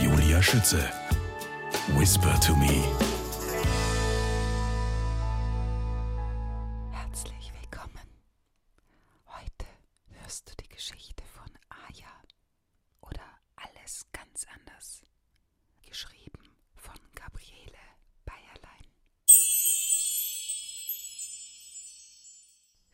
Julia Schütze. Whisper to me. Herzlich willkommen. Heute hörst du die Geschichte von Aya oder alles ganz anders. Geschrieben von Gabriele Bayerlein.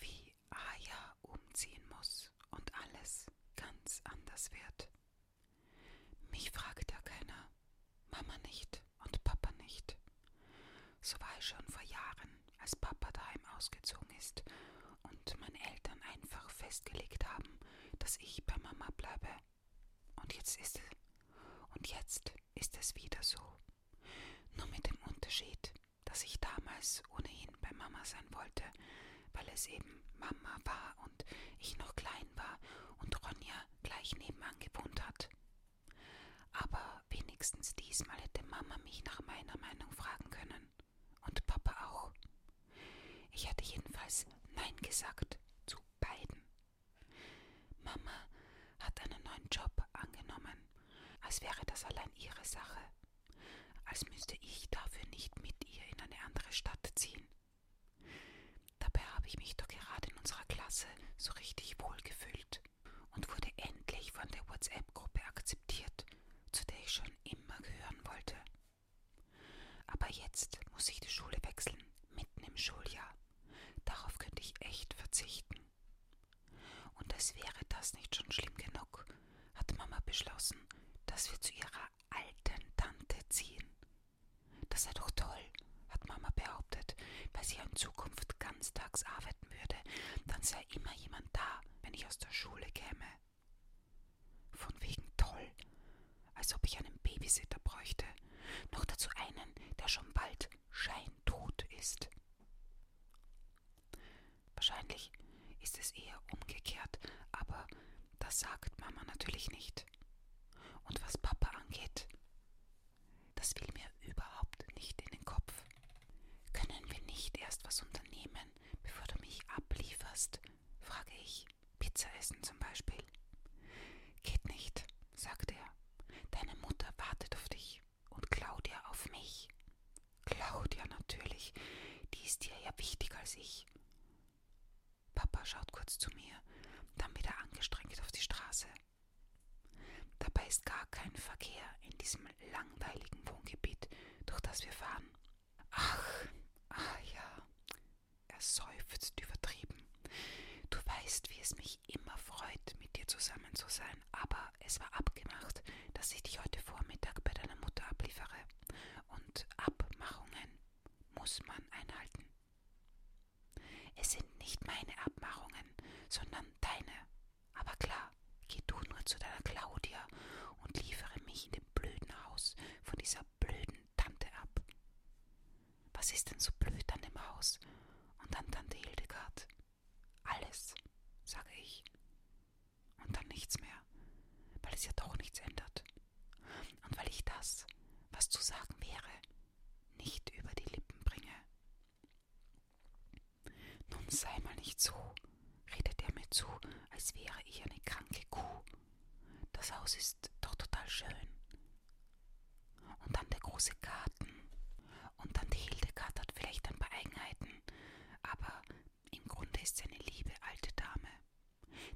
Wie die Aya umziehen muss und alles ganz anders wird. Mich fragt ja keiner, Mama nicht und Papa nicht. So war ich schon vor Jahren, als Papa daheim ausgezogen ist und meine Eltern einfach festgelegt haben, dass ich bei Mama bleibe. Und jetzt ist es, und jetzt ist es wieder so. Nur mit dem Unterschied, dass ich damals ohnehin bei Mama sein wollte, weil es eben Mama war und ich noch klein war und Ronja gleich nebenan gewohnt hat. Aber wenigstens diesmal hätte Mama mich nach meiner Meinung fragen können. Und Papa auch. Ich hatte jedenfalls Nein gesagt zu beiden. Mama hat einen neuen Job angenommen, als wäre das allein ihre Sache als müsste ich dafür nicht mit ihr in eine andere Stadt ziehen. Dabei habe ich mich doch gerade in unserer Klasse so richtig wohlgefühlt und wurde endlich von der WhatsApp-Gruppe akzeptiert, zu der ich schon immer gehören wollte. Aber jetzt muss ich die Schule wechseln, mitten im Schuljahr. Darauf könnte ich echt verzichten. Und als wäre das nicht schon schlimm genug, hat Mama beschlossen, dass wir zu ihrer alten Tante ziehen. Das sei doch toll, hat Mama behauptet, weil sie in Zukunft ganztags arbeiten würde, dann sei immer jemand da, wenn ich aus der Schule käme. Von wegen toll, als ob ich einen Babysitter bräuchte, noch dazu einen, der schon bald scheintot ist. Wahrscheinlich ist es eher umgekehrt, aber das sagt Mama natürlich nicht. Und was Papa angeht, das will mir überhaupt nicht in den Kopf. Können wir nicht erst was unternehmen, bevor du mich ablieferst? frage ich. Pizza essen zum Beispiel. Geht nicht, sagt er. Deine Mutter wartet auf dich und Claudia auf mich. Claudia natürlich, die ist dir ja wichtiger als ich. Papa schaut kurz zu mir, dann wieder angestrengt auf die Straße. Dabei ist gar kein Verkehr in diesem langweiligen Wohngebiet, durch das wir fahren. Ach, ah ja, er seufzt übertrieben. Du weißt, wie es mich immer freut, mit dir zusammen zu sein, aber es war abgemacht, dass ich dich heute Vormittag bei deiner Mutter abliefere. Und Abmachungen muss man einhalten. Es sind nicht meine Abmachungen, sondern deine. Aber klar, geh du nur zu deiner Claudia und liefere mich in dem blöden Haus von dieser blöden Tante ab. Was ist denn so blöd an dem Haus und an Tante Hildegard? Alles, sage ich. Und dann nichts mehr, weil es ja doch nichts ändert. Und weil ich das, was zu sagen wäre, nicht über die Lippen bringe. Nun sei mal nicht so, redet er mir zu, als wäre ich eine kranke Kuh. Das Haus ist doch total schön. Und dann der große Garten. Und Tante Hildegard hat vielleicht ein paar Eigenheiten, aber im Grunde ist sie eine liebe alte Dame.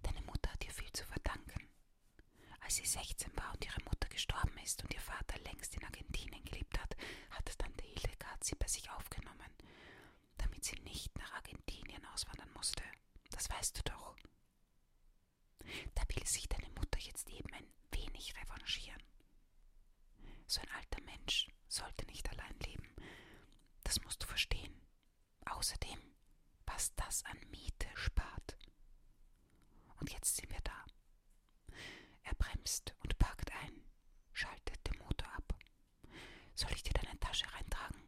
Deine Mutter hat ihr viel zu verdanken. Als sie 16 war und ihre Mutter gestorben ist und ihr Vater längst in Argentinien gelebt hat, hat Tante Hildegard sie bei sich aufgenommen, damit sie nicht nach Argentinien auswandern musste. Das weißt du doch. Da will sich deine Mutter jetzt eben ein wenig revanchieren. So ein alter Mensch sollte nicht allein leben. Das musst du verstehen. Außerdem, was das an Miete spart. Und jetzt sind wir da. Er bremst und parkt ein, schaltet den Motor ab. Soll ich dir deine Tasche reintragen?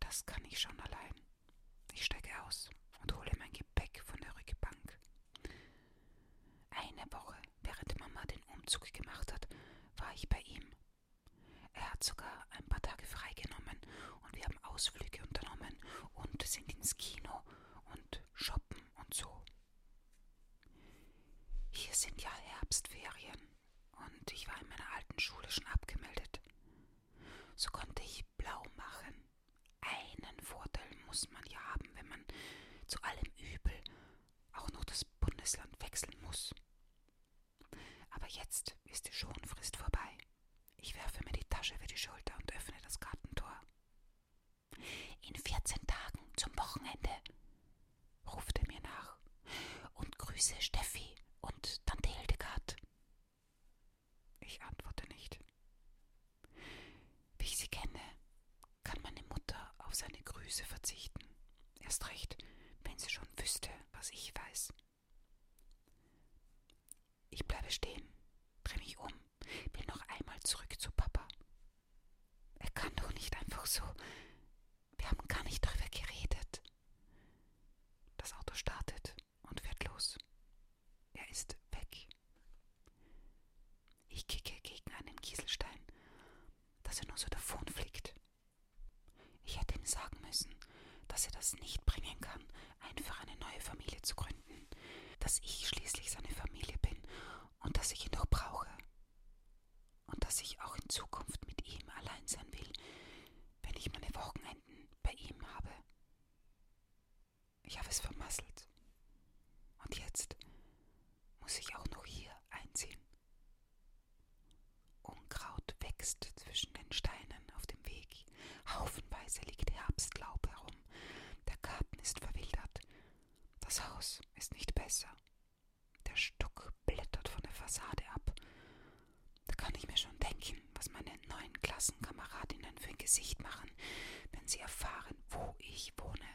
Das kann ich schon allein. Ich steige aus und hole mein Gepäck von der Rückbank. Eine Woche, während Mama den Umzug gemacht hat, war ich bei ihm. Er hat sogar ein paar Tage freigenommen und wir haben Ausflüge unternommen und sind ins Kino und shoppen und so. Hier sind ja Herbstferien und ich war in meiner alten Schule schon abgemeldet. So konnte ich blau machen einen Vorteil muss man ja haben, wenn man zu allem Übel auch noch das Bundesland wechseln muss. Aber jetzt ist die Schonfrist vorbei. Ich werfe mir die Tasche über die Schulter und öffne das Gartentor. In 14 Tagen zum Wochenende, ruft er mir nach. Und grüße Steffi und Tante Hildegard. Ich antworte nicht. Wie ich sie kenne, kann meine Mutter auf seine Grüße verzichten. Erst recht, wenn sie schon wüsste, was ich weiß. Ich bleibe stehen, drehe mich um, will noch einmal zurück zu Papa. Er kann doch nicht einfach so. Wir haben gar nicht darüber geredet. Das Auto startet und fährt los. Er ist weg. Ich kicke gegen einen Kieselstein, dass er nur so davonfliegt. Ich hätte ihm sagen müssen, dass er das nicht bringen kann, einfach eine neue Familie zu gründen, dass ich schließlich seine Familie bin und dass ich ihn doch brauche und dass ich auch in Zukunft mit ihm allein sein will, wenn ich meine Wochenenden bei ihm habe. Ich habe es vermasselt. Und jetzt muss ich auch noch hier einziehen. Unkraut wächst zwischen den Steinen auf dem Weg. Haufenweise liegt Herbstlaub herum. Der Garten ist verwildert. Das Haus ist nicht besser. Der Stuck blättert von der Fassade ab. Da kann ich mir schon denken, was meine neuen Klassenkameradinnen denn für ein Gesicht machen, wenn sie erfahren, wo ich wohne?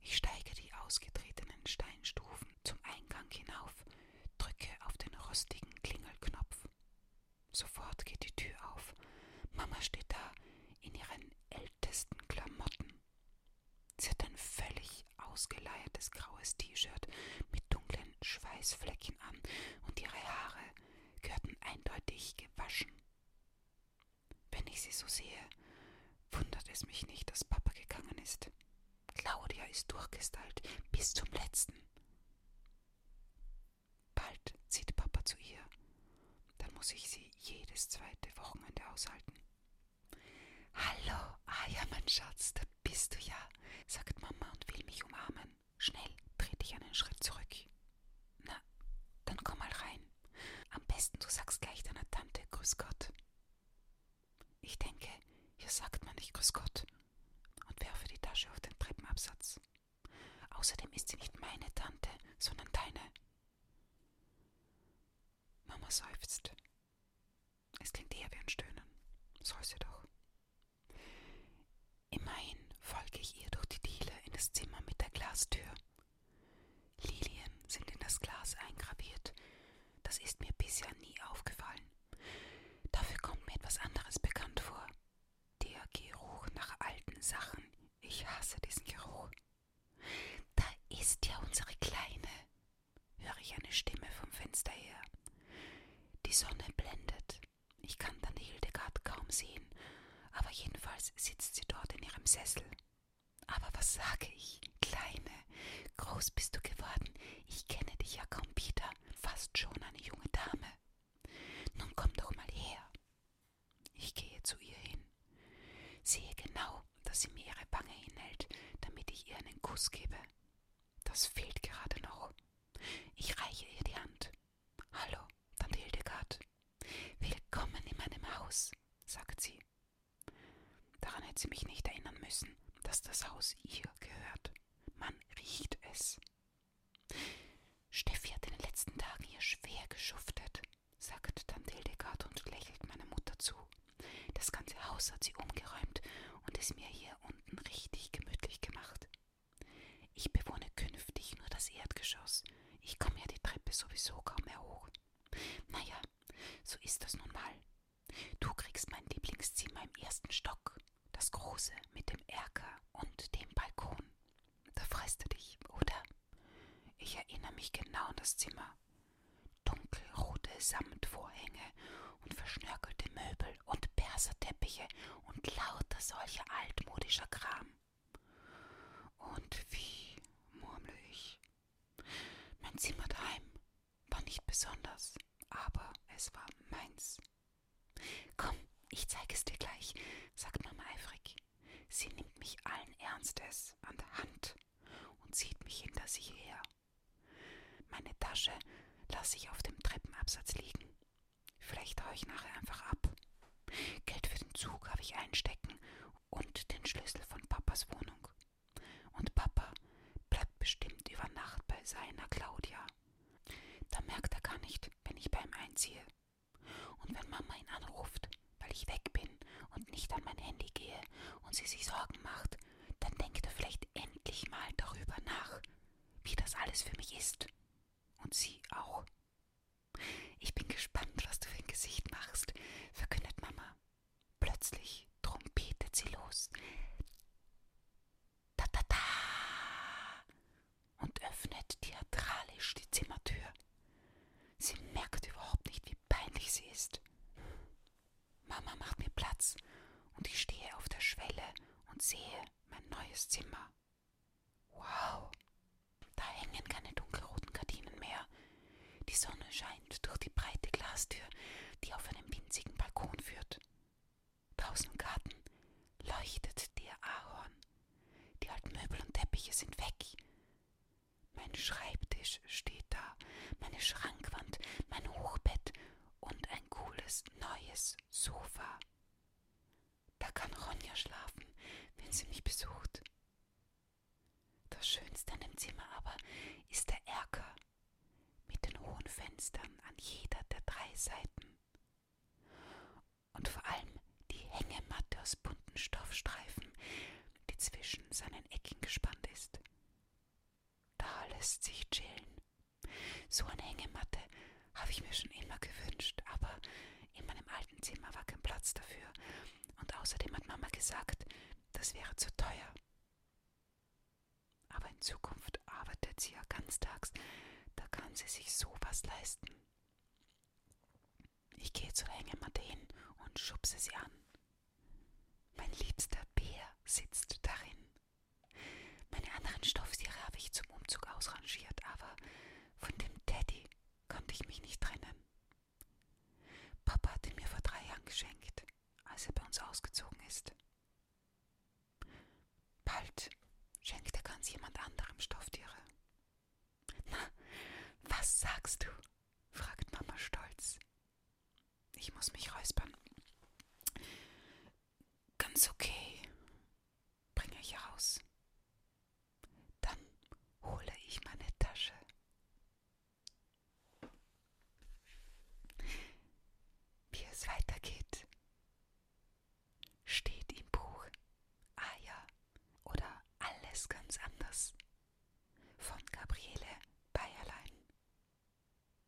Ich steige die ausgetretenen Steinstufen zum Eingang hinauf, drücke auf den rostigen Klingelknopf. Sofort geht die Tür auf. Mama steht da in ihren ältesten Klamotten. Sie hat ein völlig ausgeleiertes graues T-Shirt mit dunklen Schweißflecken an und ihre Haare gehörten eindeutig gewaschen. Wenn ich sie so sehe, wundert es mich nicht, dass Papa gegangen ist. Claudia ist durchgestylt bis zum letzten. Bald zieht Papa zu ihr. Dann muss ich sie jedes zweite Wochenende aushalten. Hallo, ah ja, mein Schatz, da bist du ja, sagt Mama und will mich umarmen. Schnell, dreh dich einen Schritt zurück. Na, dann komm mal rein. Am besten du sagst gleich deiner Tante Grüß Gott. Ich denke, hier sagt man nicht Grüß Gott und werfe die Tasche auf den Treppenabsatz. Außerdem ist sie nicht meine Tante, sondern deine. Mama seufzt. Es klingt eher wie ein Stöhnen. Soll sie doch. Immerhin folge ich ihr durch die Diele in das Zimmer mit der Glastür. Lilien sind in das Glas eingraviert. Das ist mir bisher nie aufgefallen. Dafür kommt mir etwas anderes bekannt vor. Der Geruch nach alten Sachen. Ich hasse diesen Geruch. Da ist ja unsere Kleine, höre ich eine Stimme vom Fenster her. Die Sonne blendet. Ich kann dann Hildegard kaum sehen, aber jedenfalls sitzt sie dort in ihrem Sessel. Aber was sage ich? Kleine, groß bist du geworden. Ich kenne dich ja kaum wieder, fast schon eine junge Dame. Nun komm doch mal her. Ich gehe zu ihr hin. Sehe genau, dass sie mir ihre Wange hinhält, damit ich ihr einen Kuss gebe. Das fehlt gerade noch. Ich reiche ihr die Hand. Hallo, Tante Hildegard. Willkommen in meinem Haus, sagt sie. Daran hätte sie mich nicht erinnern müssen, dass das Haus ihr gehört. Man riecht es. Steffi hat in den letzten Tagen hier schwer geschuftet, sagt Tante Hildegard und lächelt meiner Mutter zu. Das ganze Haus hat sie umgeräumt und es mir hier unten richtig gemütlich gemacht. Ich bewohne künftig nur das Erdgeschoss. Ich komme ja die Treppe sowieso kaum mehr hoch. Naja, so ist das nun mal. Du kriegst mein Lieblingszimmer im ersten Stock, das große mit dem Erker und dem Balkon. Da freust du dich, oder? Ich erinnere mich genau an das Zimmer. Dunkelrote Samtvorhänge und verschnörkelte Möbel und Perserteppiche und lauter solcher altmodischer Kram. Und wie, murmle ich. Mein Zimmer daheim war nicht besonders, aber es war meins. Komm, ich zeige es dir gleich, sagt Mama eifrig. Sie nimmt mich allen Ernstes an der Hand und zieht mich hinter sich her. Meine Tasche lasse ich auf dem Treppenabsatz liegen. Vielleicht haue ich nachher einfach ab. Geld für den Zug habe ich einstecken und den Schlüssel von Papas Wohnung. Und Papa bleibt bestimmt über Nacht bei seiner Claudia. Da merkt er gar nicht, wenn ich bei ihm einziehe. Und wenn Mama ihn anruft, weil ich weg bin und nicht an mein Handy gehe und sie sich Sorgen macht, dann denkt er vielleicht endlich mal darüber nach, wie das alles für mich ist. Und sie auch. Ich bin gespannt, was du für ein Gesicht machst, verkündet Mama. Plötzlich trompetet sie los. Ta-ta-ta! Und öffnet theatralisch die Zimmertür. Sie merkt überhaupt nicht, wie peinlich sie ist. Mama macht mir Platz und ich stehe auf der Schwelle und sehe, mein neues Zimmer. Wow, da hängen keine dunkelroten Gardinen mehr. Die Sonne scheint durch die breite Glastür, die auf einen winzigen Balkon führt. Draußen im Garten leuchtet der Ahorn. Die alten Möbel und Teppiche sind weg. Mein Schreibtisch steht da, meine Schrankwand, mein Hochbett und ein cooles neues das Sofa. Da kann Ronja schlafen, wenn sie mich besucht. Das Schönste an dem Zimmer aber ist der Erker mit den hohen Fenstern an jeder der drei Seiten. Und vor allem die Hängematte aus bunten Stoffstreifen, die zwischen seinen Ecken gespannt ist. Da lässt sich chillen so eine Hängematte habe ich mir schon immer gewünscht, aber in meinem alten Zimmer war kein Platz dafür. Und außerdem hat Mama gesagt, das wäre zu teuer. Aber in Zukunft arbeitet sie ja ganztags, da kann sie sich sowas leisten. Ich gehe zur Hängematte hin und schubse sie an. Mein liebster Bär sitzt darin. Meine anderen Stofftiere habe ich zum Umzug ausrangiert, aber von dem Teddy konnte ich mich nicht trennen. Papa hat ihn mir vor drei Jahren geschenkt, als er bei uns ausgezogen ist. Bald schenkt er ganz jemand anderem Stofftiere. Na, was sagst du? fragt Mama stolz. Ich muss mich räuspern. Ganz okay, bringe ich raus. Dann hole ich meine Tasche. Wie es weitergeht, steht im Buch. Ah ja, oder alles ganz anders. Von Gabriele Bayerlein.